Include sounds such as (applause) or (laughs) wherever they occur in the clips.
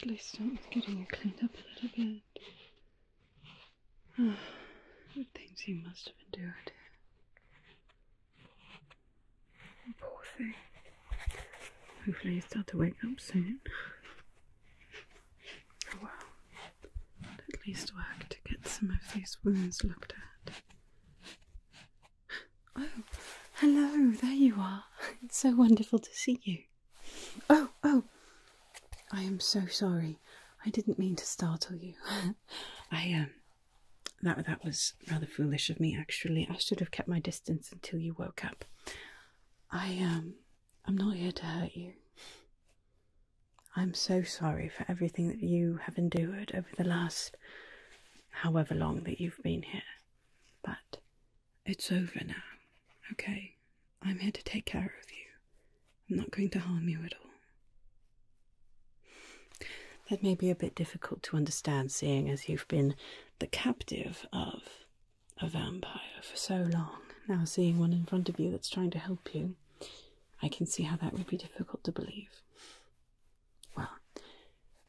At least I am getting it cleaned up a little bit. Oh, the things you must have endured. Poor thing. Hopefully he start to wake up soon. Oh well. At least work to get some of these wounds looked at. Oh, hello, there you are. (laughs) It's so wonderful to see you. Oh, oh, I am so sorry. I didn't mean to startle you. (laughs) I, um, that, that was rather foolish of me, actually. I should have kept my distance until you woke up. I, um, I'm not here to hurt you. I'm so sorry for everything that you have endured over the last however long that you've been here. But it's over now, okay? I'm here to take care of you. I'm not going to harm you at all. That may be a bit difficult to understand, seeing as you've been the captive of a vampire for so long. Now, seeing one in front of you that's trying to help you, I can see how that would be difficult to believe. Well,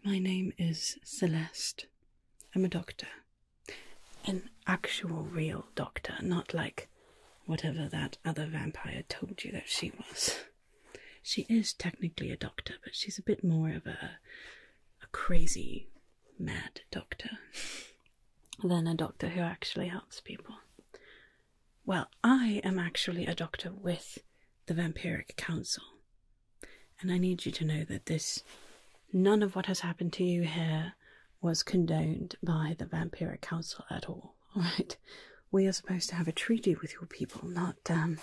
my name is Celeste. I'm a doctor. An actual, real doctor, not like whatever that other vampire told you that she was. She is technically a doctor, but she's a bit more of a, a crazy, mad doctor (laughs) than a doctor who actually helps people. Well, I am actually a doctor with the Vampiric Council, and I need you to know that this none of what has happened to you here was condoned by the Vampiric Council at all. All (laughs) right, we are supposed to have a treaty with your people, not um,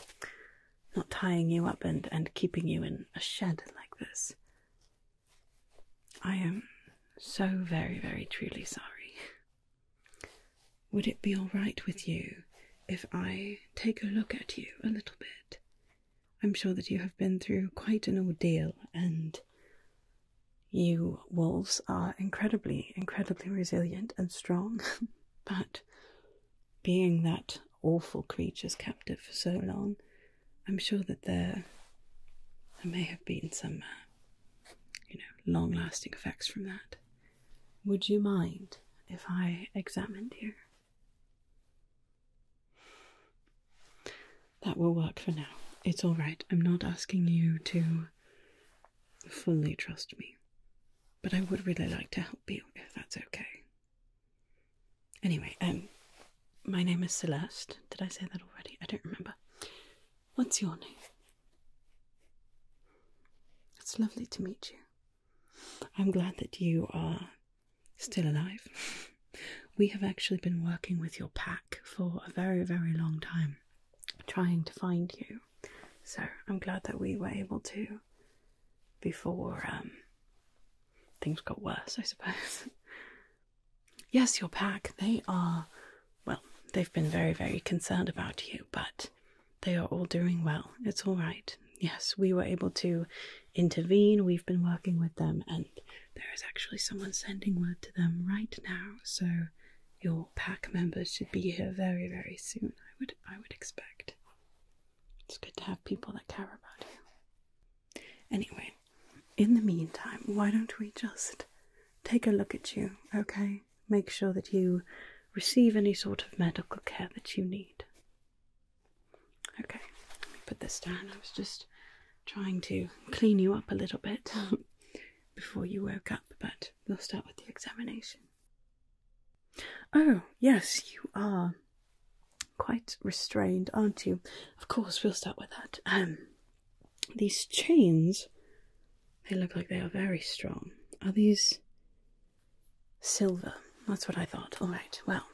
not tying you up and and keeping you in a shed like this. I am so very, very truly sorry. (laughs) Would it be all right with you if I take a look at you a little bit? I'm sure that you have been through quite an ordeal, and you wolves are incredibly, incredibly resilient and strong. (laughs) but being that awful creatures captive for so long, I'm sure that there, may have been some uh, you know, long lasting effects from that. Would you mind if I examined you? That will work for now. It's all right. I'm not asking you to fully trust me, but I would really like to help you if that's okay. Anyway, um, my name is Celeste. Did I say that already? I don't remember. What's your name? It's lovely to meet you. I'm glad that you are still alive. (laughs) We have actually been working with your pack for a very, very long time, trying to find you. So I'm glad that we were able to before um, things got worse, I suppose. (laughs) yes, your pack, they are well, they've been very, very concerned about you, but they are all doing well. It's all right. Yes, we were able to intervene. We've been working with them, and there is actually someone sending word to them right now. So your pack members should be here very, very soon. I would, I would expect. It's good to have people that care about you. Anyway, in the meantime, why don't we just take a look at you, okay? make sure that you receive any sort of medical care that you need. Okay, put this down. I was just trying to clean you up a little bit (laughs) before you woke up, but we'll start with the examination. Oh, yes, you are quite restrained, aren't you? Of course, we'll start with that. Um, these chains, they look like they are very strong. Are these silver? That's what I thought. All right, well,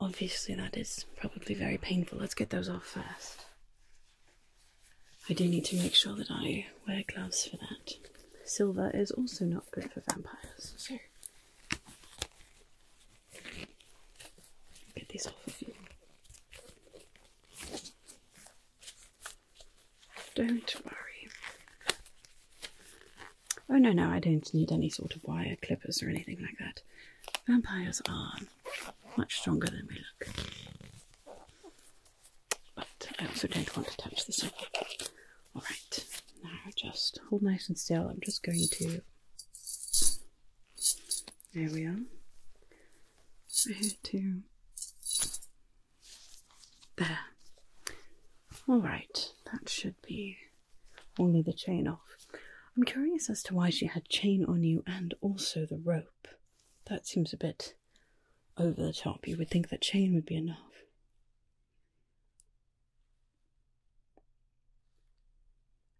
obviously that is probably very painful. Let's get those off first. I do need to make sure that I wear gloves for that. Silver is also not good for vampires, so get these off of you. Don't worry. Oh no, no, I don't need any sort of wire clippers or anything like that. Vampires are much stronger than we look. But I also don't want to touch this one. Alright, now just hold nice and still. I'm just going to. There we are. I had to there. Alright, that should be only the chain off. I'm curious as to why she had chain on you and also the rope. That seems a bit over the top. You would think that chain would be enough.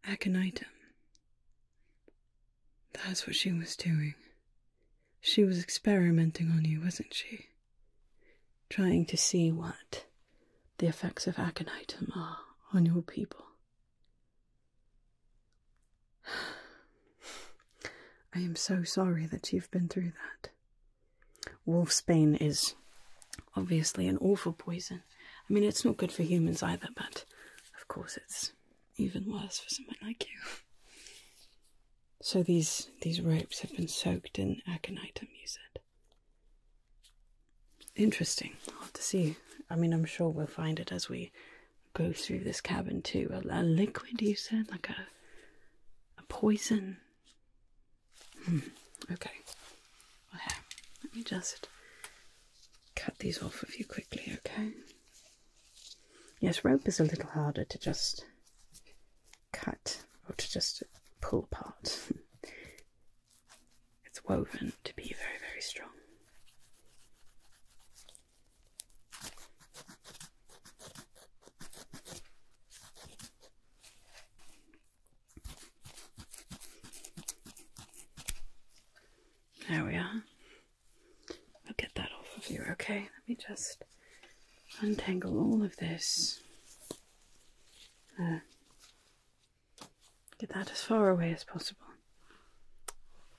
Aconitum. That's what she was doing. She was experimenting on you, wasn't she? Trying to see what the effects of aconitum are on your people. (sighs) I am so sorry that you've been through that. Wolfsbane is obviously an awful poison. I mean, it's not good for humans either, but of course it's even worse for someone like you. So these these ropes have been soaked in aconitum, you said. Interesting. I'll have to see. I mean, I'm sure we'll find it as we go through this cabin too. A, liquid, you said, like a a poison. Hmm. Okay. Well, here, let me just cut these off of you quickly, okay? Yes, rope is a little harder to just cut or to just pull apart. (laughs) it's woven to be very, very strong. There we are. I'll get that off of you, okay? Let me just untangle all of this. Uh, get that as far away as possible.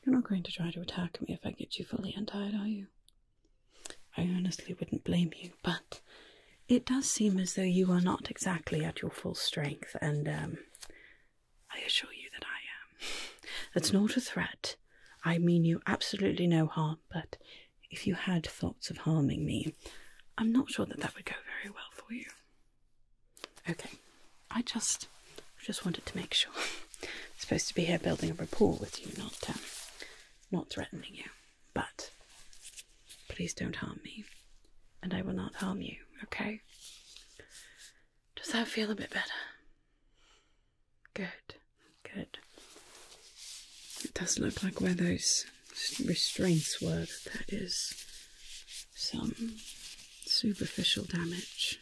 You're not going to try to attack me if I get you fully untied, are you? I honestly wouldn't blame you, but it does seem as though you are not exactly at your full strength, and um, I assure you that I am. That's not a threat. I mean you absolutely no harm, but if you had thoughts of harming me, I'm not sure that that would go very well for you. Okay, I just, just wanted to make sure. I'm (laughs) supposed to be here building a rapport with you, not, um, not threatening you. But please don't harm me, and I will not harm you. Okay? Does that feel a bit better? Good, good. It does look like where those restraints were That is some superficial damage.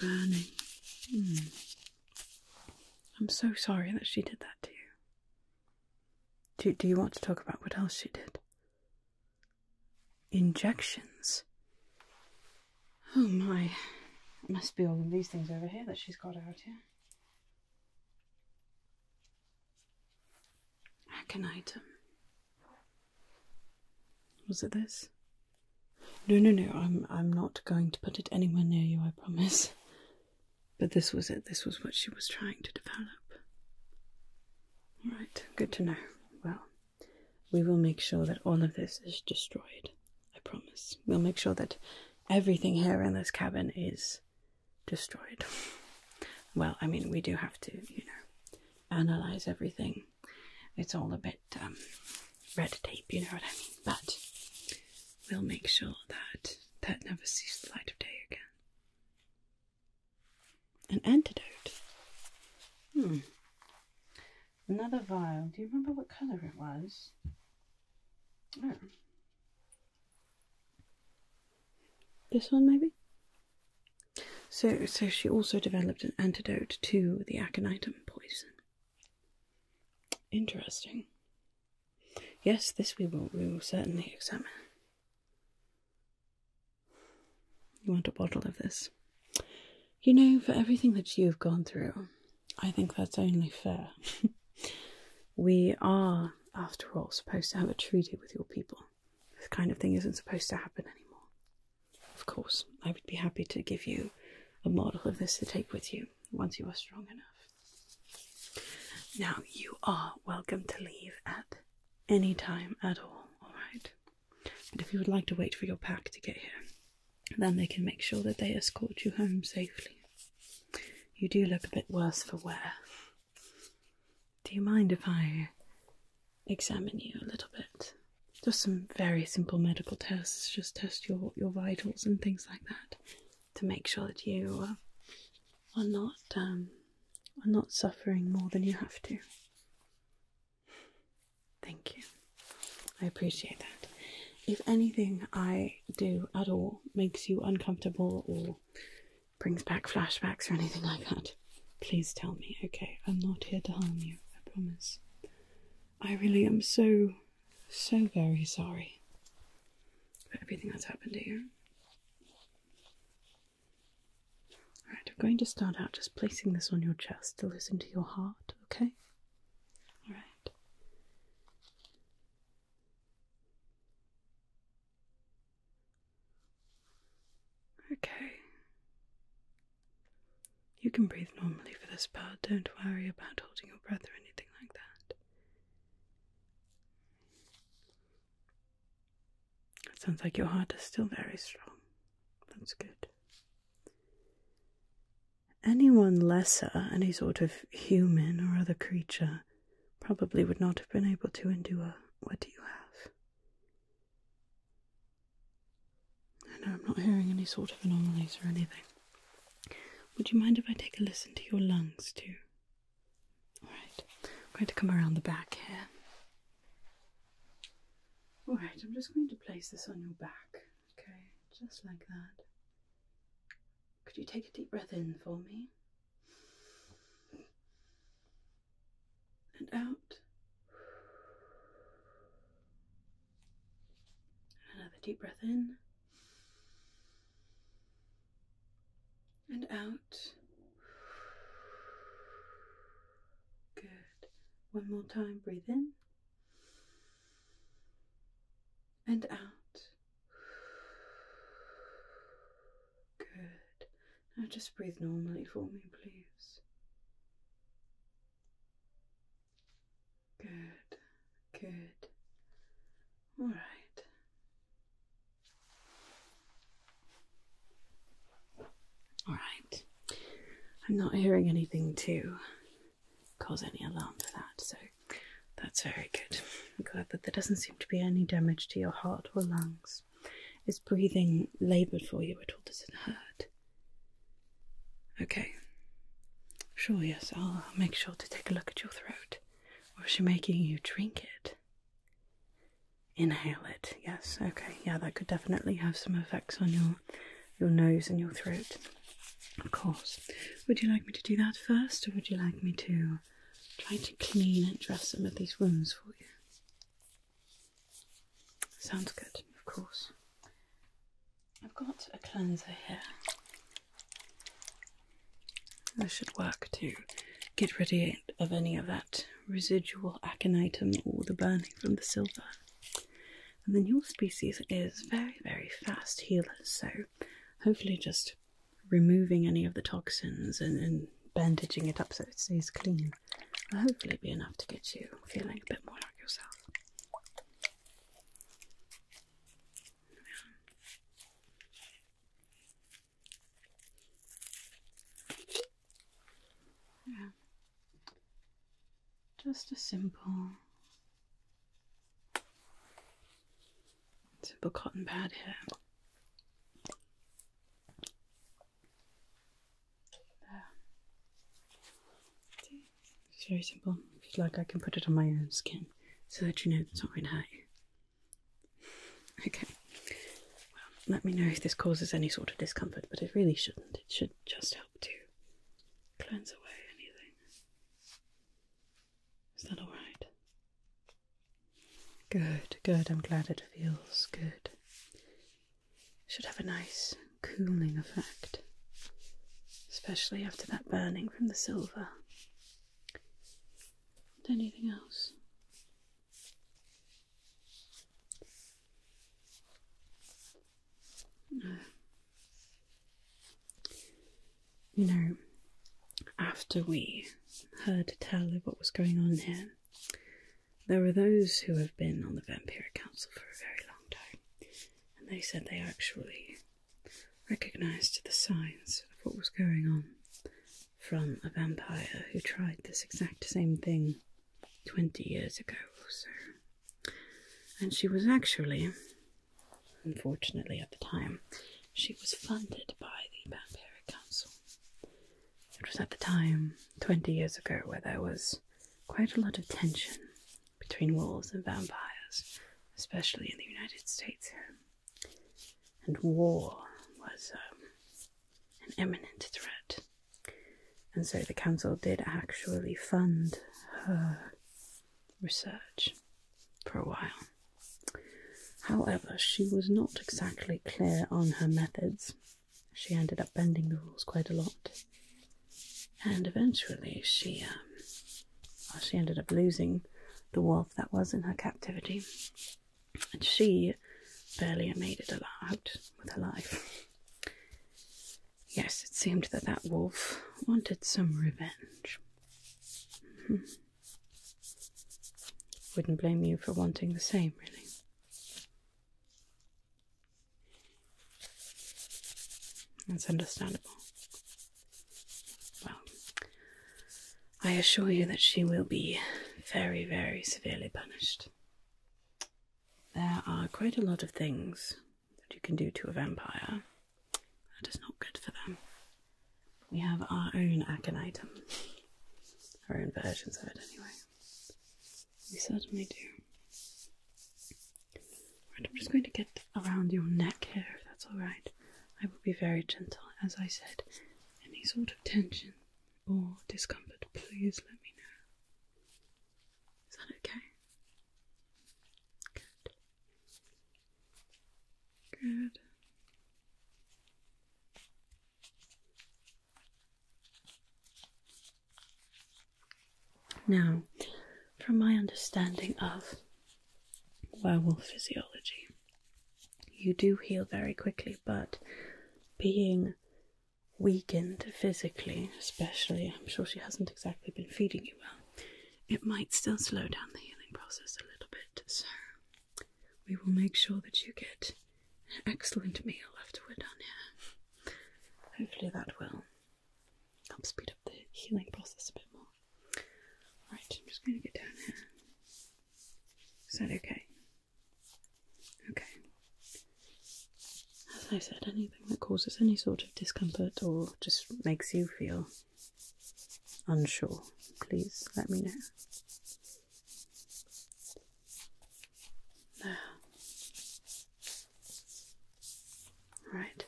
Burning. Hmm. I'm so sorry that she did that to you. Do, do you want to talk about what else she did? Injections. Oh my, it must be all of these things over here that she's got out here. Hack Was it this? No, no, no. I'm I'm not going to put it anywhere near you. I promise. But this was it. This was what she was trying to develop. All right. Good to know. Well, we will make sure that all of this is destroyed. I promise. We'll make sure that everything here in this cabin is destroyed. (laughs) well, I mean, we do have to, you know, analyze everything. It's all a bit um, red tape, you know what I mean? But we'll make sure that that never sees the light of day again. An antidote? Hmm. Another vial. Do you remember what colour it was? Oh. This one, maybe? So, so she also developed an antidote to the aconitum poison. Interesting. Yes, this we will we will certainly examine. You want a bottle of this? You know, for everything that you've gone through, I think that's only fair. (laughs) we are, after all, supposed to have a treaty with your people. This kind of thing isn't supposed to happen anymore. Of course, I would be happy to give you a model of this to take with you once you are strong enough. Now, you are welcome to leave at any time at all, alright? And if you would like to wait for your pack to get here, then they can make sure that they escort you home safely. You do look a bit worse for wear. Do you mind if I examine you a little bit? Just some very simple medical tests, just test your, your vitals and things like that to make sure that you uh, are not um, are not suffering more than you have to. Thank you. I appreciate that. If anything I do at all makes you uncomfortable or brings back flashbacks or anything like that, please tell me, okay? I'm not here to harm you, I promise. I really am so, so very sorry for everything that's happened to you. Alright, I'm going to start out just placing this on your chest to listen to your heart, okay? All right. Okay. You can breathe normally for this part, don't worry about holding your breath or anything like that. It sounds like your heart is still very strong. That's good. Anyone lesser, any sort of human or other creature, probably would not have been able to endure what you have. I know I'm not hearing any sort of anomalies or anything. Would you mind if I take a listen to your lungs too? Alright, I'm going to come around the back here. Alright, I'm just going to place this on your back, okay? Just like that. Could you take a deep breath in for me? And out. Another deep breath in. And out. Good. One more time, breathe in and out. Good. Now just breathe normally for me, please. Good, good. All right. All right. I'm not hearing anything to cause any alarm for that, so that's very good. I'm glad that there doesn't seem to be any damage to your heart or lungs. Is breathing laboured for you at all? Does it hurt? Okay. Sure, yes, I'll make sure to take a look at your throat. Was she making you drink it? Inhale it, yes, okay, yeah, that could definitely have some effects on your your nose and your throat. Of course. Would you like me to do that first, or would you like me to try to clean and dress some of these wounds for you? Sounds good, of course. I've got a cleanser here. This should work to get rid of any of that residual aconitum or the burning from the silver and then your species is very, very fast healers, so hopefully just removing any of the toxins and, bandaging it up so it stays clean will hopefully be enough to get you feeling a bit more like yourself. Yeah. Just a simple, simple cotton pad here. There. It's very simple. If you'd like, I can put it on my own skin so that you know it's not going to hurt you. Okay. Well, let me know if this causes any sort of discomfort, but it really shouldn't. It should just help to cleanse away anything. Is that alright? Good, good. I'm glad it feels good. Should have a nice cooling effect, especially after that burning from the silver. anything else? (sighs) You know, after we heard tell of what was going on here, there were those who have been on the Vampire Council for a very long time, and they said they actually recognized the signs of what was going on from a vampire who tried this exact same thing 20 years ago or so. And she was actually, unfortunately at the time, she was funded by the Vampire Council. It was at the time, 20 years ago, where there was quite a lot of tension between wolves and vampires, especially in the United States. And war was um, an imminent threat and so the council did actually fund her research for a while. However, she was not exactly clear on her methods. She ended up bending the rules quite a lot. And eventually she, um, she ended up losing the wolf that was in her captivity. And she barely made it out with her life. Yes, it seemed that that wolf wanted some revenge. Hmm. Wouldn't blame you for wanting the same, really. That's understandable. Well, I assure you that she will be very, very severely punished there are quite a lot of things that you can do to a vampire that is not good for them. We have our own aconitum, our own versions of it, anyway. We certainly do. Right, I'm just going to get around your neck here, if that's alright. I will be very gentle, as I said. Any sort of tension or discomfort, please let me know. Is that okay? Good. Good. Now, from my understanding of werewolf physiology, you do heal very quickly, but being weakened physically, especially. I'm sure she hasn't exactly been feeding you well. It might still slow down the healing process a little bit, so we will make sure that you get an excellent meal after we're done here. Hopefully, that will help speed up the healing process a bit more. Alright, I'm just going to get down here. Is that okay? Okay. As I said, anything that causes any sort of discomfort or just makes you feel unsure, please let me know. Right.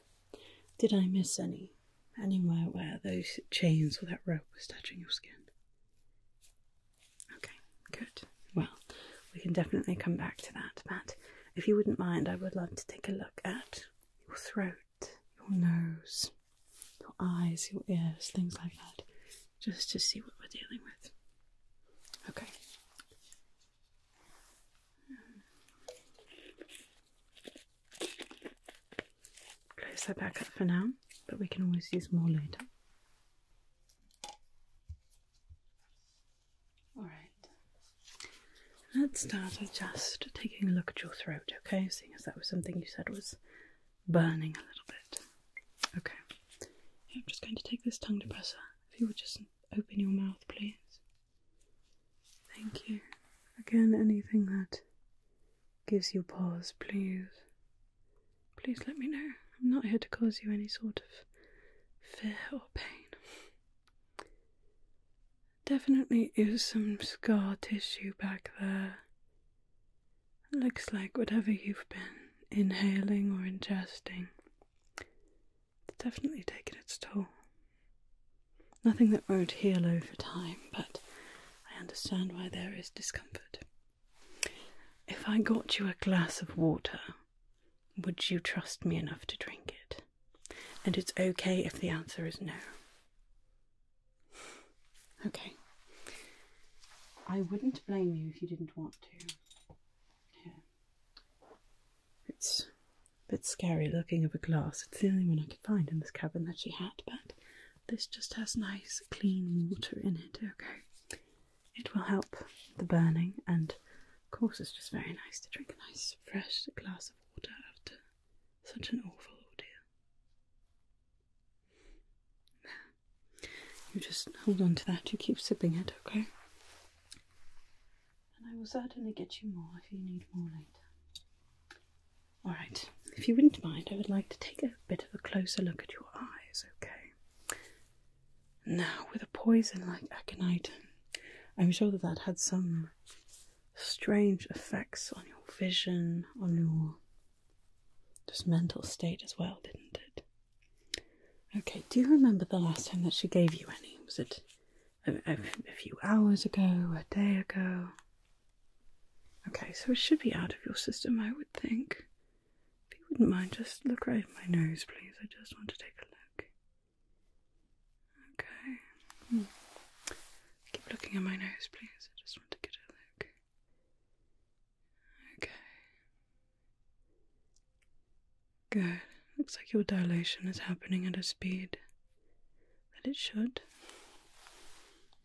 Did I miss any? Anywhere where those chains or that rope was touching your skin? Okay, good. Well, we can definitely come back to that, but if you wouldn't mind, I would love to take a look at your throat, your nose, your eyes, your ears, things like that, just to see what we're dealing with. Okay. Close that back up for now, but we can always use more later. Alright. Let's start with just taking a look at your throat, okay? Seeing as that was something you said was burning a little bit. Okay. I'm just going to take this tongue depressor. If you would just open your mouth, please. Thank you. Again, anything that gives you pause, please. Please let me know. I'm not here to cause you any sort of fear or pain. Definitely is some scar tissue back there. Looks like whatever you've been inhaling or ingesting. It's definitely taken its toll. Nothing that won't heal over time, but I understand why there is discomfort. If I got you a glass of water, would you trust me enough to drink it? And it's okay if the answer is no. Okay. I wouldn't blame you if you didn't want to. Yeah. It's a bit scary looking of a glass. It's the only one I could find in this cabin that she had, but this just has nice clean water in it. Okay. It will help the burning, and of course, it's just very nice to drink a nice fresh glass of water after such an awful ordeal. You just hold on to that, you keep sipping it, okay? And I will certainly get you more if you need more later. Alright, if you wouldn't mind, I would like to take a bit of a closer look at your eyes, okay? Now, with a poison like aconite, I'm sure that that had some strange effects on your vision, on your just mental state as well, didn't it? Okay, do you remember the last time that she gave you any? Was it a, a few hours ago, a day ago? Okay, so it should be out of your system, I would think. If you wouldn't mind, just look right at my nose, please. I just want to take a look. Okay. Hmm. Keep looking at my nose, please. I just want to get a look. Okay. Good. Looks like your dilation is happening at a speed that it should.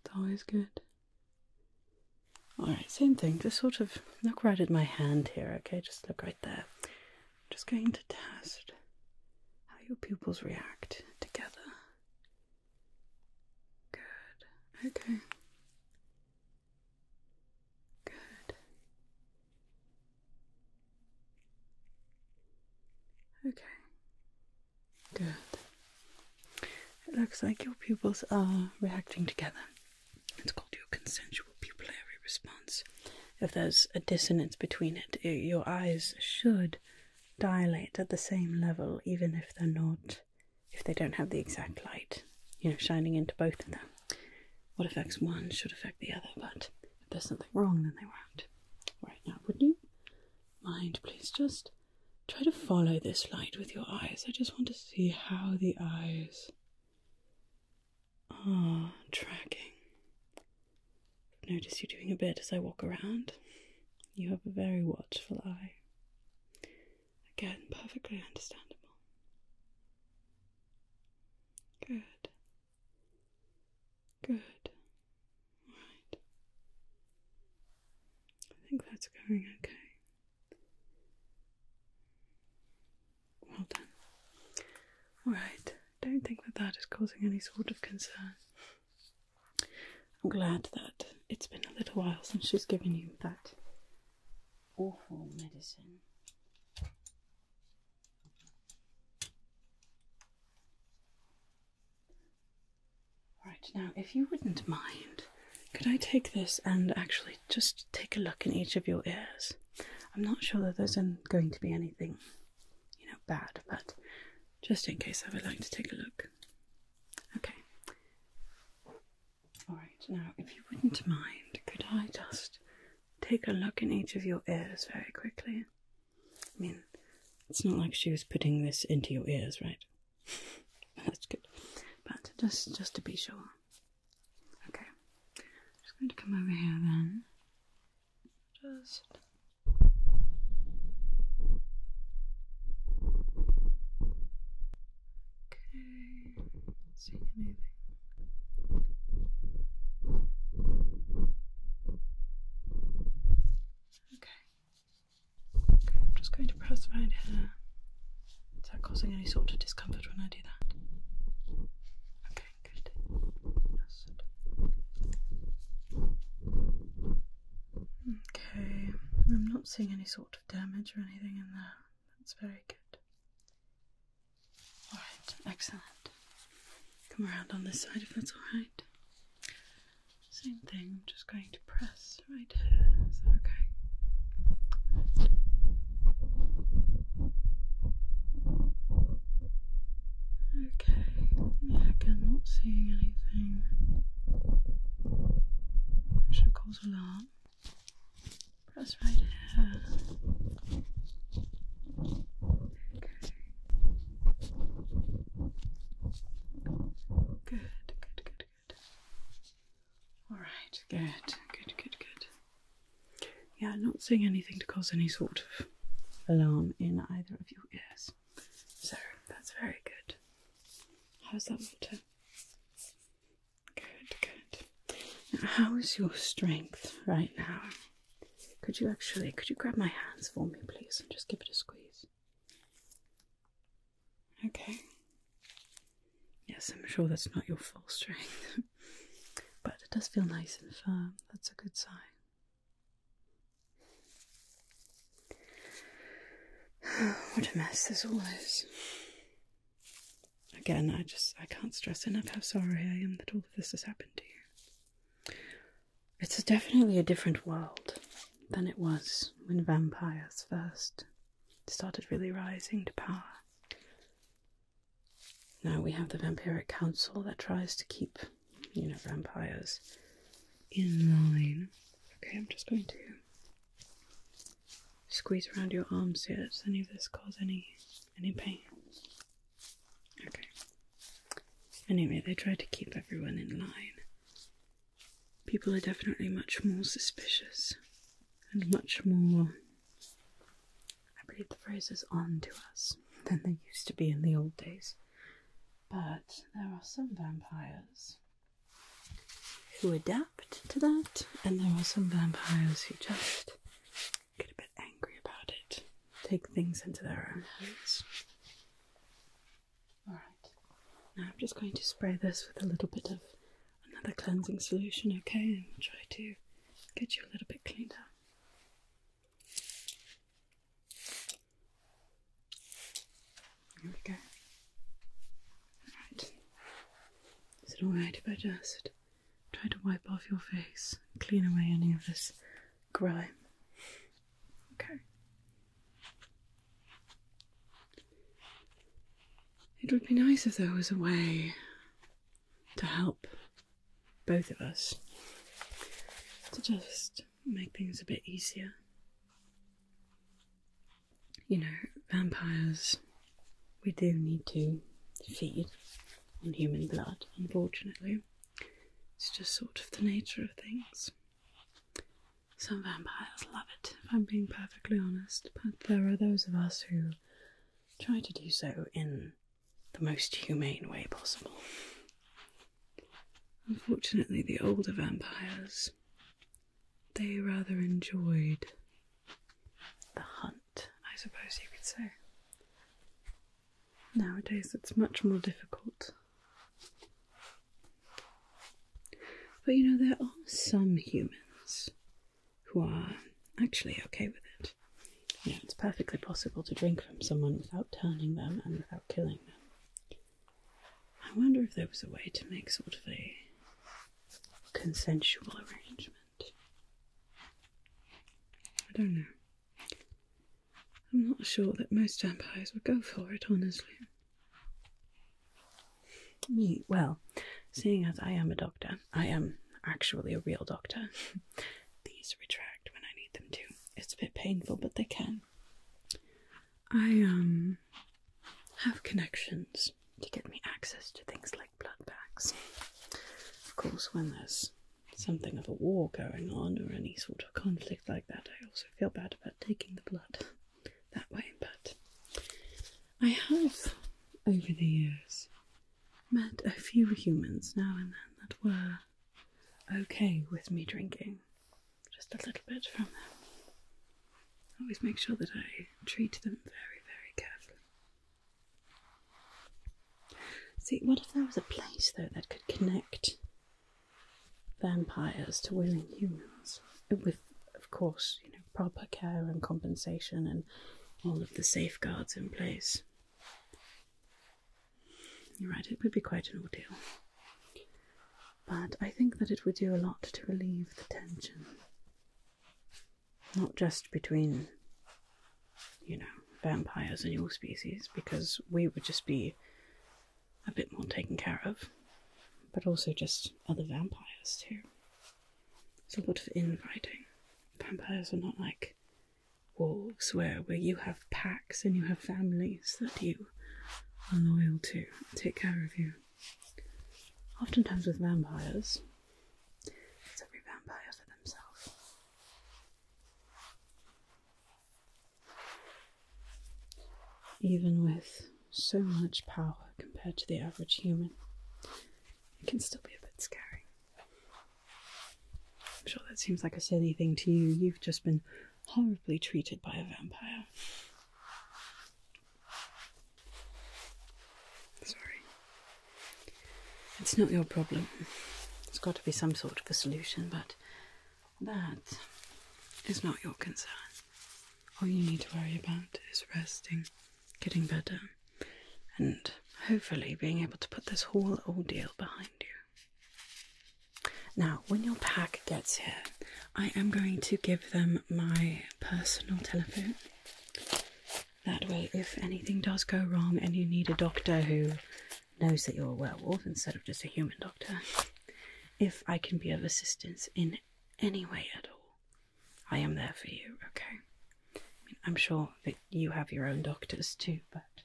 It's always good. Alright, same thing. Just sort of look right at my hand here, okay? Just look right just going to test how your pupils react together. Good. Okay. Good. Okay. Good. It looks like your pupils are reacting together. It's called your consensual pupillary response. If there's a dissonance between it, your eyes should dilate at the same level, even if they're not, if they don't have the exact light, you know, shining into both of them. What affects one should affect the other, but if there's something wrong, then they won't. Right now, would not you mind, please just try to follow this light with your eyes? I just want to see how the eyes Ah, tracking. Notice you're doing a bit as I walk around. You have a very watchful eye. Again, perfectly understandable. Good. Good. All right. I think that's going okay. Well done. Alright, don't think that that is causing any sort of concern. I'm glad that it's been a little while since she's given you that awful medicine. All right. now if you wouldn't mind, could I take this and actually just take a look in each of your ears. I'm not sure that there's going to be anything, you know, bad, but just in case, I would like to take a look. Okay. All right. Now, if you wouldn't mind, could I just take a look in each of your ears very quickly? I mean, it's not like she was putting this into your ears, right? (laughs) That's good. But just just to be sure. Okay, I'm just going to come over here then. Just. Okay, see anything. Okay. Okay, I'm just going to press right here. Is that causing any sort of discomfort when I do that? Okay, good. Okay, I'm not seeing any sort of damage or anything in there. That's very good. Alright, excellent. Come around on this side if that's alright. Same thing, I'm just going to press right here. Is that okay? Okay, again, not seeing anything should cause alarm. Press right here. Okay. Good, good, good, good. All right, good, good, good, good. Yeah, I'm not seeing anything to cause any sort of alarm in either of your ears. So that's very good. How's that water? Good, good. Now, how is your strength right now? Could you actually, could you grab my hands for me, please, and just give it a squeeze? Okay. Yes, I'm sure that's not your full strength, (laughs) but it does feel nice and firm. That's a good sign. (sighs) what a mess this all is. Again, I just I can't stress enough how sorry I am that all of this has happened to you. It's definitely a different world than it was when vampires first started really rising to power. Now we have the Vampiric Council that tries to keep, you know, vampires in line. Okay, I'm just going to squeeze around your arm here. Does any of this cause any any pain? Okay. Anyway, they try to keep everyone in line. People are definitely much more suspicious and much more. I read the phrases is on to us (laughs) than they used to be in the old days. But there are some vampires who adapt to that, and there are some vampires who just get a bit angry about it, take things into their own hands. Alright, now I'm just going to spray this with a little bit of another cleansing solution, okay? And try to get you a little bit cleaner. Here we go. Alright. Is it alright if I just try to wipe off your face clean away any of this grime? Okay. It would be nice if there was a way to help both of us to just make things a bit easier. You know, vampires, we do need to feed on human blood, unfortunately. It's just sort of the nature of things. Some vampires love it, if I'm being perfectly honest, but there are those of us who try to do so in the most humane way possible. Unfortunately, the older vampires they rather enjoyed the hunt, I suppose you could say. Nowadays, it's much more difficult. But you know, there are some humans who are actually okay with it. You it's perfectly possible to drink from someone without turning them and without killing them. I wonder if there was a way to make sort of a consensual arrangement. I don't know. I'm not sure that most vampires would go for it, honestly. Me, well, seeing as I am a doctor, I am actually a real doctor. (laughs) These retract when I need them to. It's a bit painful, but they can. I um have connections to get me access to things like blood bags. Of course, when there's something of a war going on or any sort of conflict like that, I also feel bad about taking the blood that way, but I have, over the years, met a few humans now and then that were okay with me drinking just a little bit from them. I always make sure that I treat them very, very carefully. See, what if there was a place, though, that could connect vampires to willing humans? of course, you know, proper care and compensation and all of the safeguards in place. You're right, it would be quite an ordeal. But I think that it would do a lot to relieve the tension. Not just between, you know, vampires and your species, because we would just be a bit more taken care of, but also just other vampires too sort of infighting. Vampires are not like wolves where where you have packs and you have families that you are loyal to take care of you. Oftentimes with vampires, it's every vampire for themselves. Even with so much power compared to the average human. It can still be a bit scary. I'm sure that seems like a silly thing to you. You've just been horribly treated by a vampire. Sorry. It's not your problem. There's got to be some sort of a solution, but that is not your concern. All you need to worry about is resting getting better, and hopefully being able to put this whole ordeal behind you. Now, when your pack gets here, I am going to give them my personal telephone. That way, if anything does go wrong and you need a doctor who knows that you're a werewolf instead of just a human doctor, if I can be of assistance in any way at all, I am there for you, okay? I am sure that you have your own doctors too, but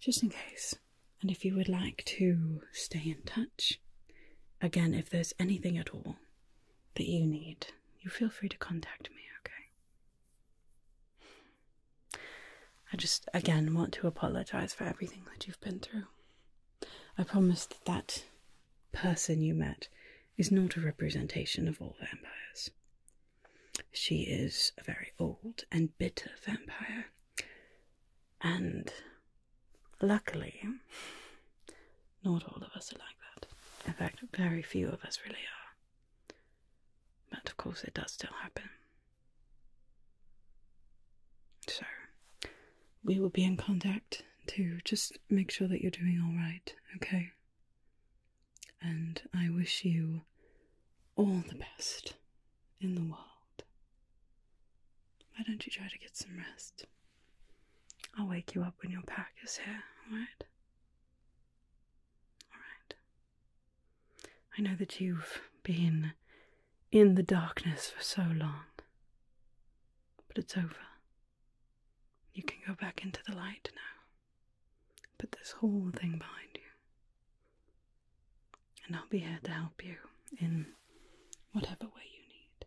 just in case. And if you would like to stay in touch, again, if there's anything at all that you need, you feel free to contact me, okay? I just, again, want to apologize for everything that you've been through. I promised that person you met is not a representation of all vampires. She is a very old and bitter vampire, and luckily, not all of us are like that. In fact, very few of us really are. But of course, it does still happen. So, we will be in contact to just make sure that you're doing all right, okay? And I wish you all the best in the world. Why don't you try to get some rest? I'll wake you up when your pack is here, alright? Alright. I know that you've been in the darkness for so long, but it's over. You can go back into the light now. Put this whole thing behind you. And I'll be here to help you in whatever way you need.